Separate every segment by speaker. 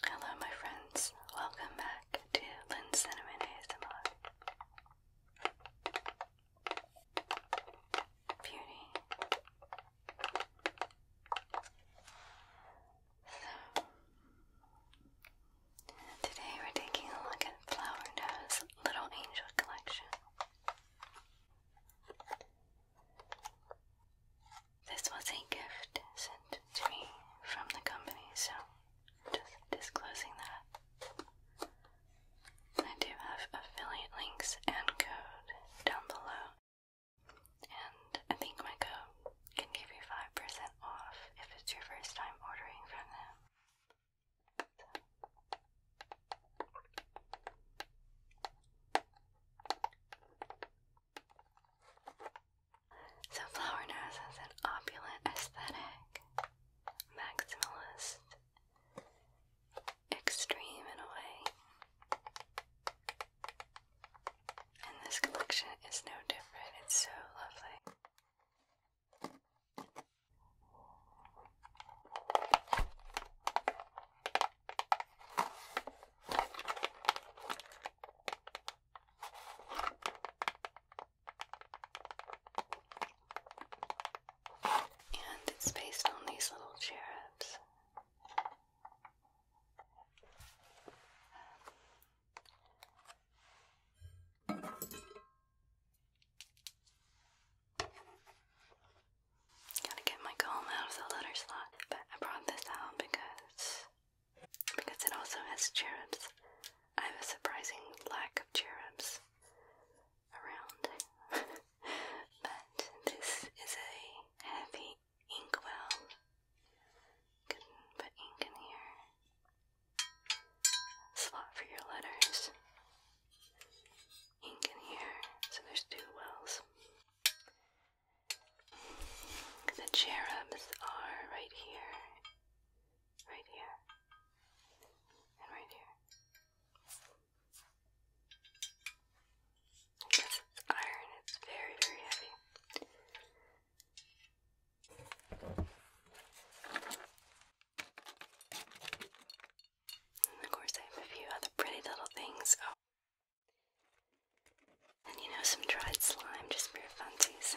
Speaker 1: Hello, my friends. Welcome back to Lynn Cinnamon ASMR. Beauty. So, today we're taking a look at Flower Little Angel Collection. This was a gift sent to me from the company, so just disclosing that. I do have affiliate links and code down below, and I think my code can give you 5% off if it's your first time ordering from them. So Flower Nose has an opulent aesthetic, maximalist, extreme in a way. And this collection is no different, it's so lovely. And it's based on these little cherubs. Gotta get my comb out of the letter slot, but I brought this out because because it also has cherubs. I have a surprising lack of cherubs around, but this is a heavy inkwell. Can put ink in here. Slot for your letters. Ink in here, so there's two wells. The cherubs are right here, right here, and right here. Because it's iron, it's very, very heavy. of course, I have a few other pretty little things. Oh. And you know, some dried slime just for your funsies.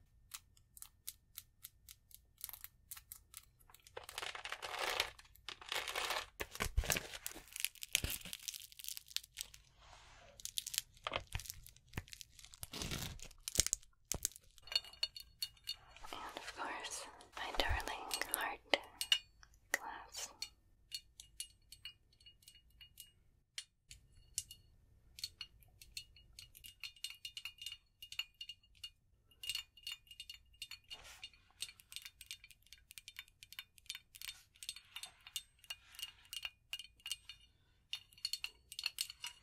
Speaker 1: And of course, my darling heart glass.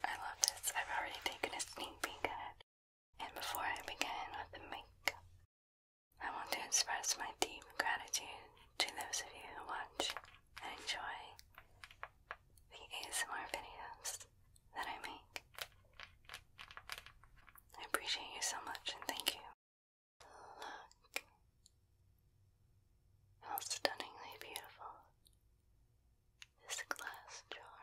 Speaker 1: I love this. I've already taken a sneak peek at And before I begin with the makeup, I want to express my deep gratitude to those of you who watch and enjoy the ASMR videos that I make. I appreciate you so much and thank you. Look how stunningly beautiful this glass jar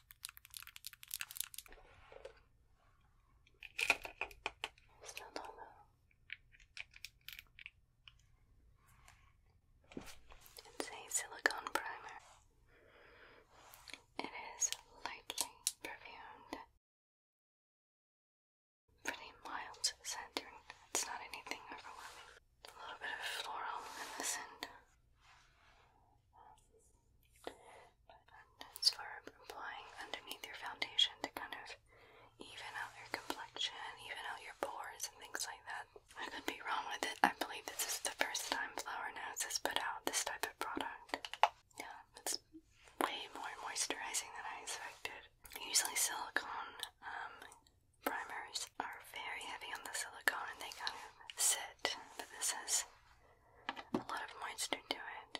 Speaker 1: Still do It's a silicone primer. It is lightly perfumed. Pretty mild centering. It's not anything overwhelming. A little bit of floral in but for applying underneath your foundation to kind of even out your complexion, even out your pores and things like that. I could be wrong with it. I believe this is the first time Flower Notes has put out this type of product. Yeah, it's way more moisturizing than I expected. Usually silicone um, primers are very heavy on the silicone and they kind of sit, but this is a lot of moisture do it.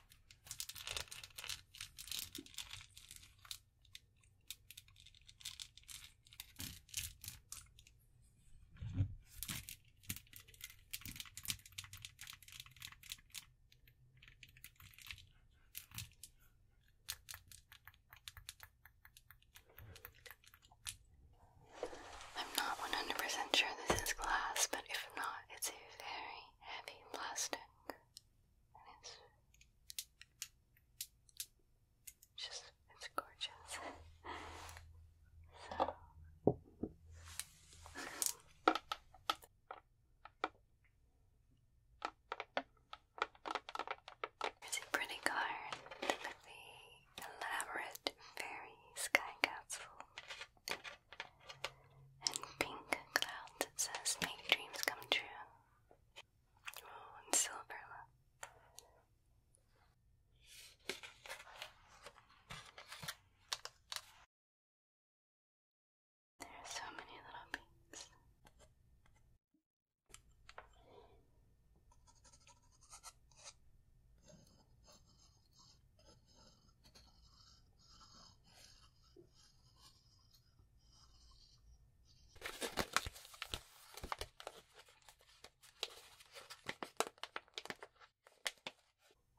Speaker 1: I'm not 100% sure this is glass, but if not, it's a very heavy plastic and it's just, it's gorgeous. so. a pretty card with the elaborate fairy sky capsule. And pink clouds that says make dreams come true. Oh, and silver. There are so many little beads.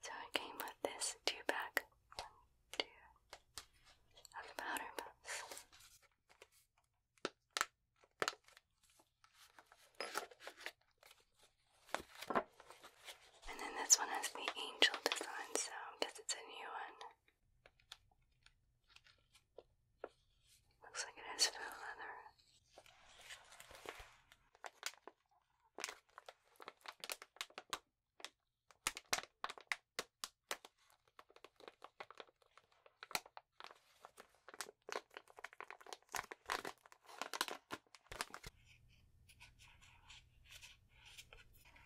Speaker 1: So it came with this two pack, one, two, of the powder puffs. They're and then this one has the angel design, so because it's a new one. Looks like it has faux leather.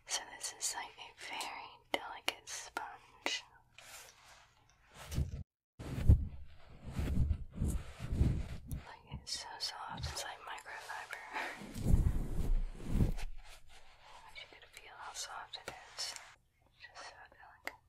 Speaker 1: So, this is like a very delicate sponge. Like, it's so soft, it's like microfiber. you could feel how soft it is. Just so delicate.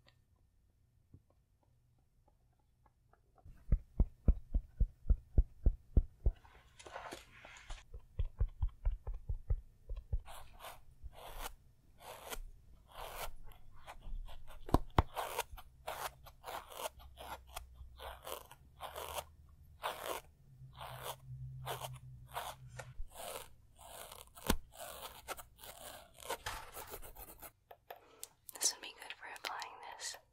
Speaker 1: This would be good for applying this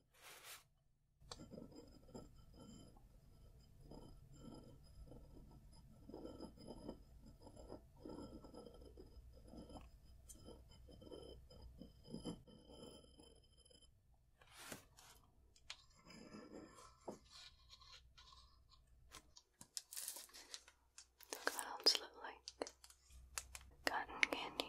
Speaker 1: Look what the elves look like. Cotton candy.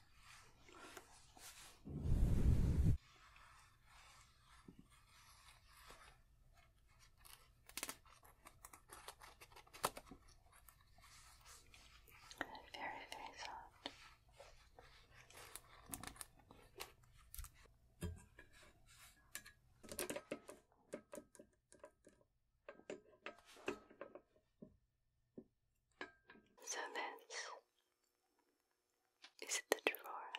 Speaker 1: Very, very soft. So this is the drawer.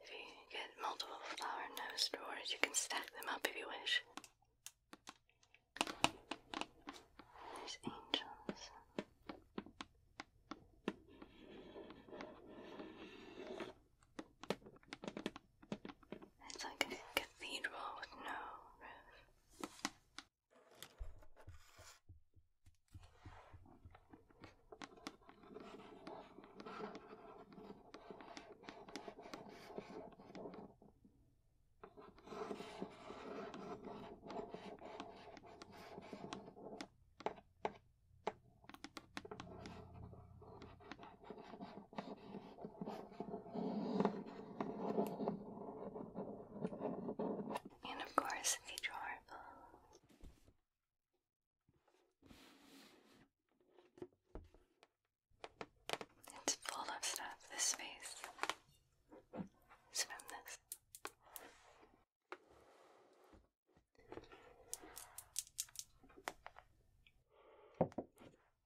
Speaker 1: If you get multiple flower nose drawers, you can stack them up if you wish. There's angels. It's like a cathedral with no roof. And of course, a jar It's full of stuff, this space. It's this.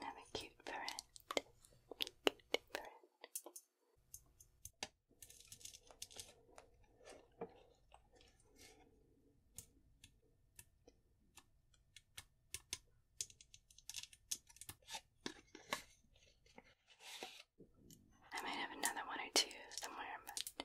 Speaker 1: have a cute parrot. I might have another one or two somewhere, but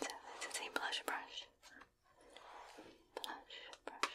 Speaker 1: So this is a blush brush. Blush brush.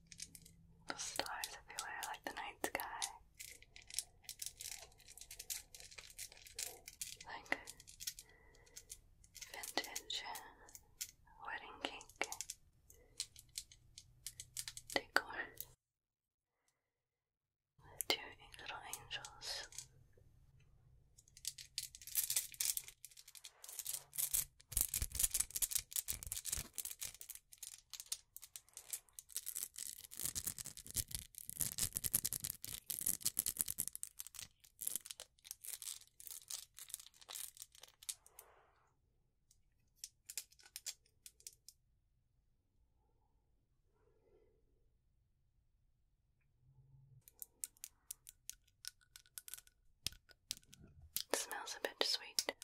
Speaker 1: Stars everywhere, like the night sky. Like vintage wedding cake decor. two little angels. It smells a bit sweet.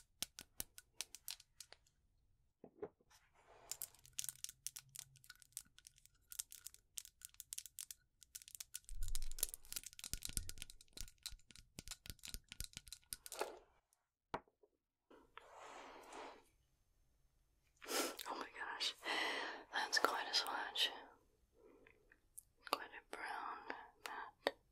Speaker 1: Oh my gosh, that's quite a swatch. Quite a brown mat.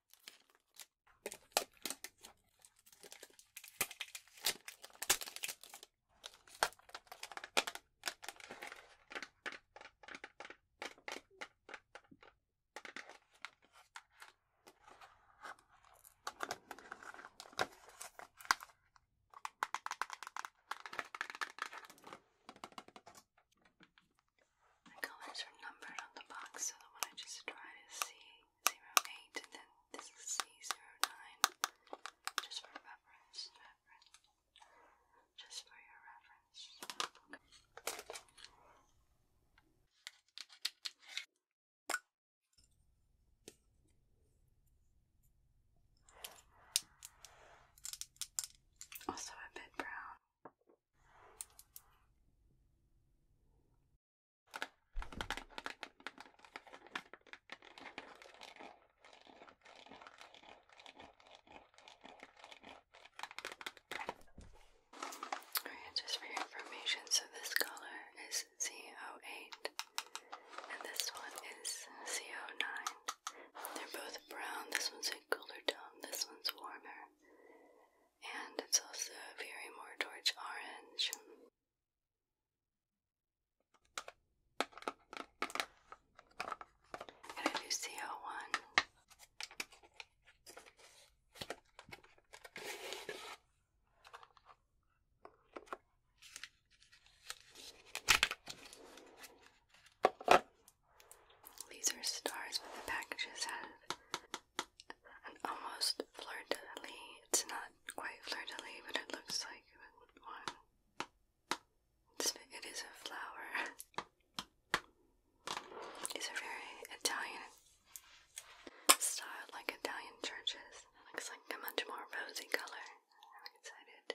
Speaker 1: The colors are numbered on the box so that when I just try to see 08, and then this is C09, just for reference, just for your reference. Also a bit brown just for your information, so this color is CO8 and this one is CO9. They're both brown. This one's a cooler tone, this one's warmer and it's also very more torch orange. And I do CO1. These are stars, but the packages have and almost fleur It's not quite fleur but it looks like one. It's, a flower. It's a very Italian style, like Italian churches. It looks like a much more rosy color. I'm excited.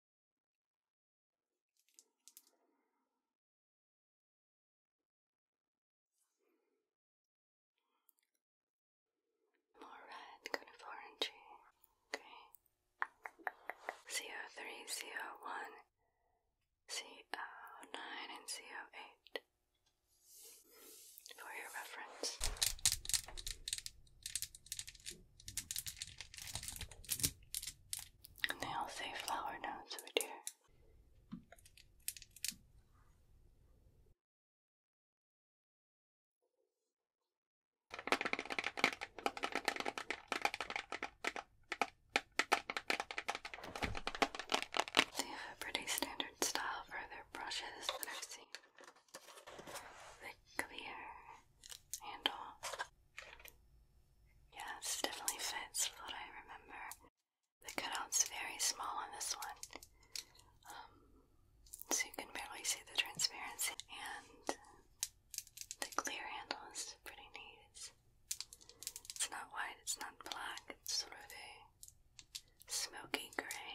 Speaker 1: More red, kind of orangey. Okay. CO3, CO1, CO9, and CO8 for your reference. And they all say flower notes, my dear. They have a pretty standard style for their brushes that I've seen. The clear handle yeah, this definitely fits with what I remember. The cutout's very small on this one, um, so you can barely see the transparency. And the clear handle is pretty neat. it's not white, it's not black, it's sort of a smoky gray.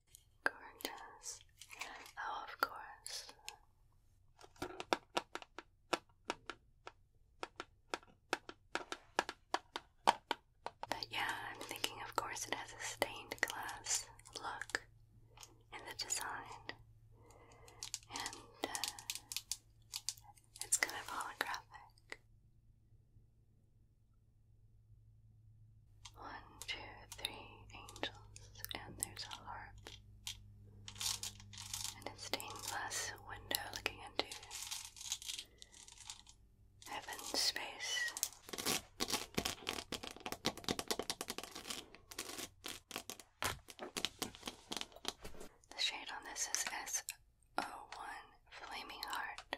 Speaker 1: Gorgeous. Oh, of course. But yeah, I'm thinking, of course, it has a stained glass look in the design. And uh, it's kind of holographic. One, two, three angels, and there's a harp. And it's stained glass window looking into heaven's space. The shade on this is S O one Flaming Heart.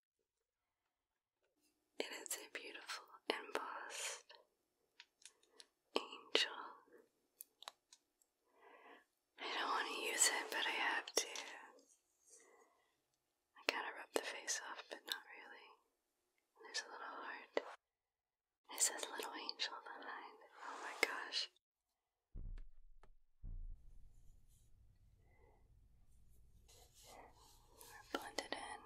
Speaker 1: It is a beautiful embossed angel. I don't want to use it, but I have to. I gotta rub the face off, but not really. There's a little heart. It says little angel behind. Oh my gosh blend it in.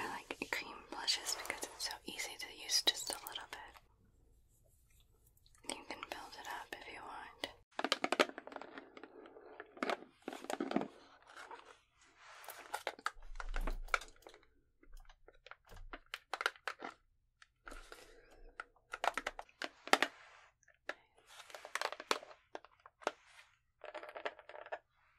Speaker 1: I like cream blushes because it's so easy to use just a little bit. You can build it up if you want.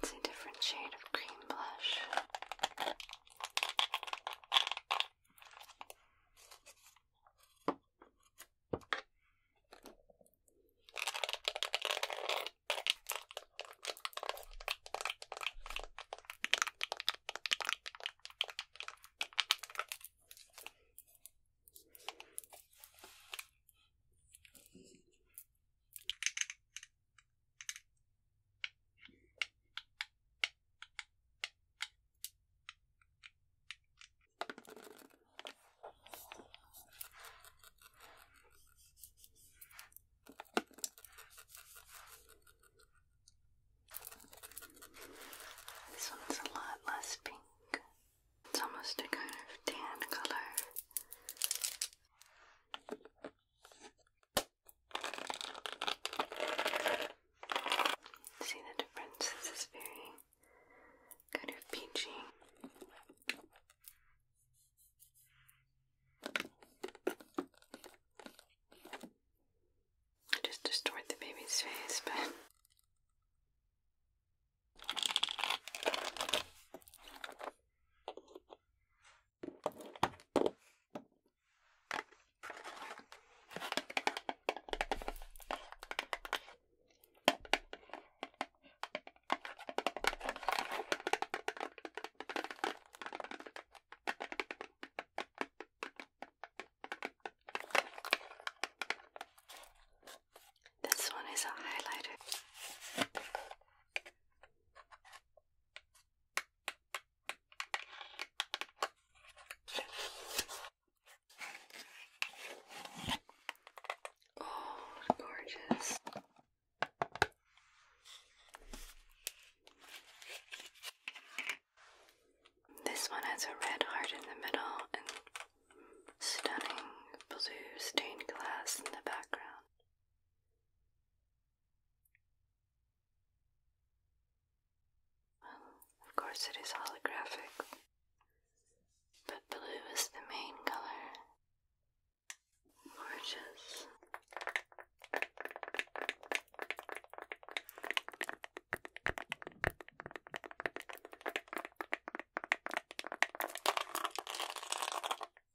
Speaker 1: It's a different shade of green blush. This one's a lot less pink. It's almost a kind of tan color. See the difference? This is very kind of peachy. I just distort the baby's face, but. This one is a highlighter. Oh, gorgeous. This one has a red heart in the middle and stunning blue stained glass in the background. Well, of course it is holographic, but blue is the main color. Gorgeous.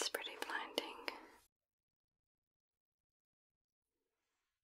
Speaker 1: It's pretty blinding.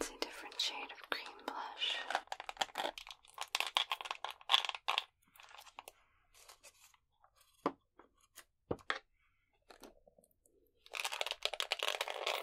Speaker 1: It's a different shade of cream blush.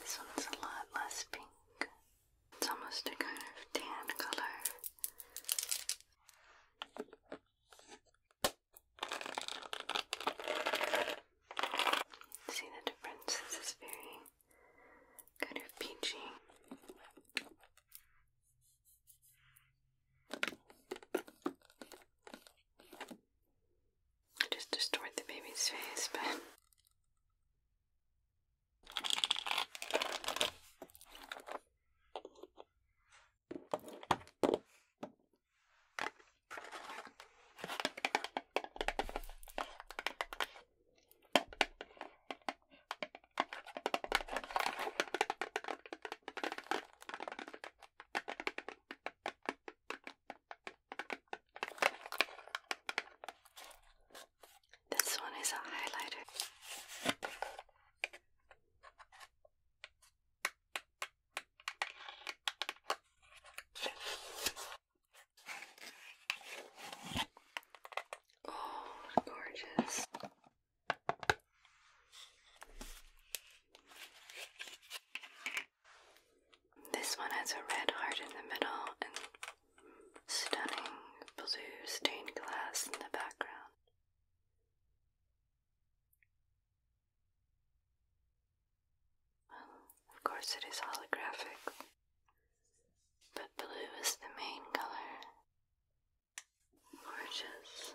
Speaker 1: This one's a lot less pink. It's almost a kind of tan color. See the difference? This is very kind of peachy. I just destroyed the baby's face, but. This one is a highlighter. Oh, gorgeous. This one has a red heart in the middle and stunning blue stained glass in the background. of course, it is holographic, but blue is the main color. Gorgeous.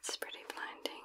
Speaker 1: It's pretty blinding.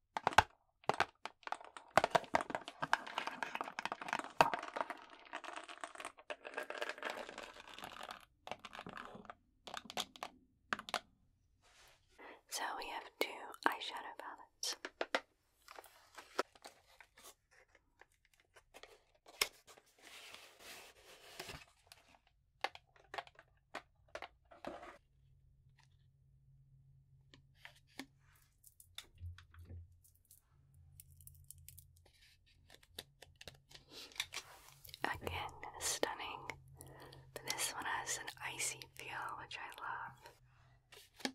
Speaker 1: So we have two eyeshadow palettes. Again, stunning. this one has an icy feel, which I love.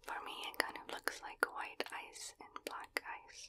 Speaker 1: For me, it kind of looks like white ice and black ice.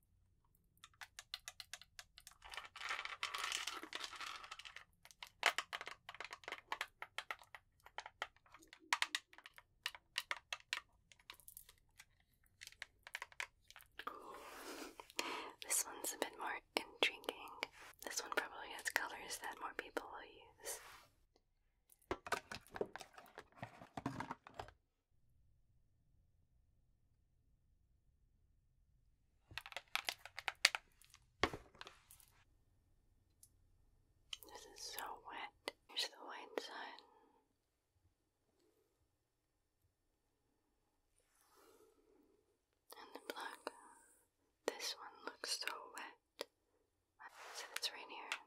Speaker 1: This one's a bit more intriguing. This one probably has colors that more people will use. This is so wet. Here's the white sun. And the black. This one looks so wet. So it's right here.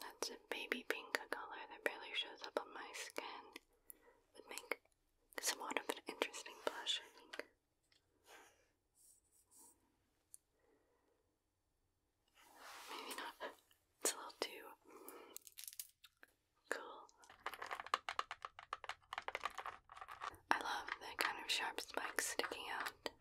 Speaker 1: That's a baby pink color that barely shows up on my skin. Would make somewhat of an interesting blush, I think. Maybe not. It's a little too cool. I love the kind of sharp spikes sticking out that.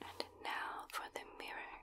Speaker 1: And now for the mirror.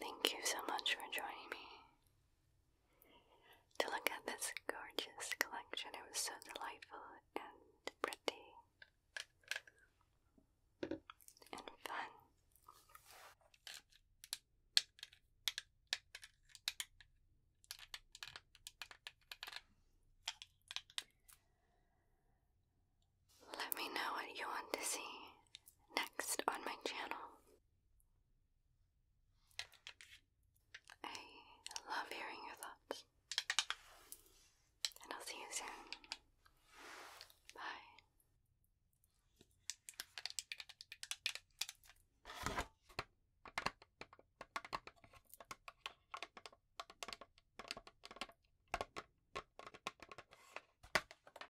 Speaker 1: Thank you so much for joining me to look at this gorgeous collection. It was so delightful and pretty and fun. Let me know what you want to see next on my channel. I love hearing your thoughts. And I'll see you soon. Bye.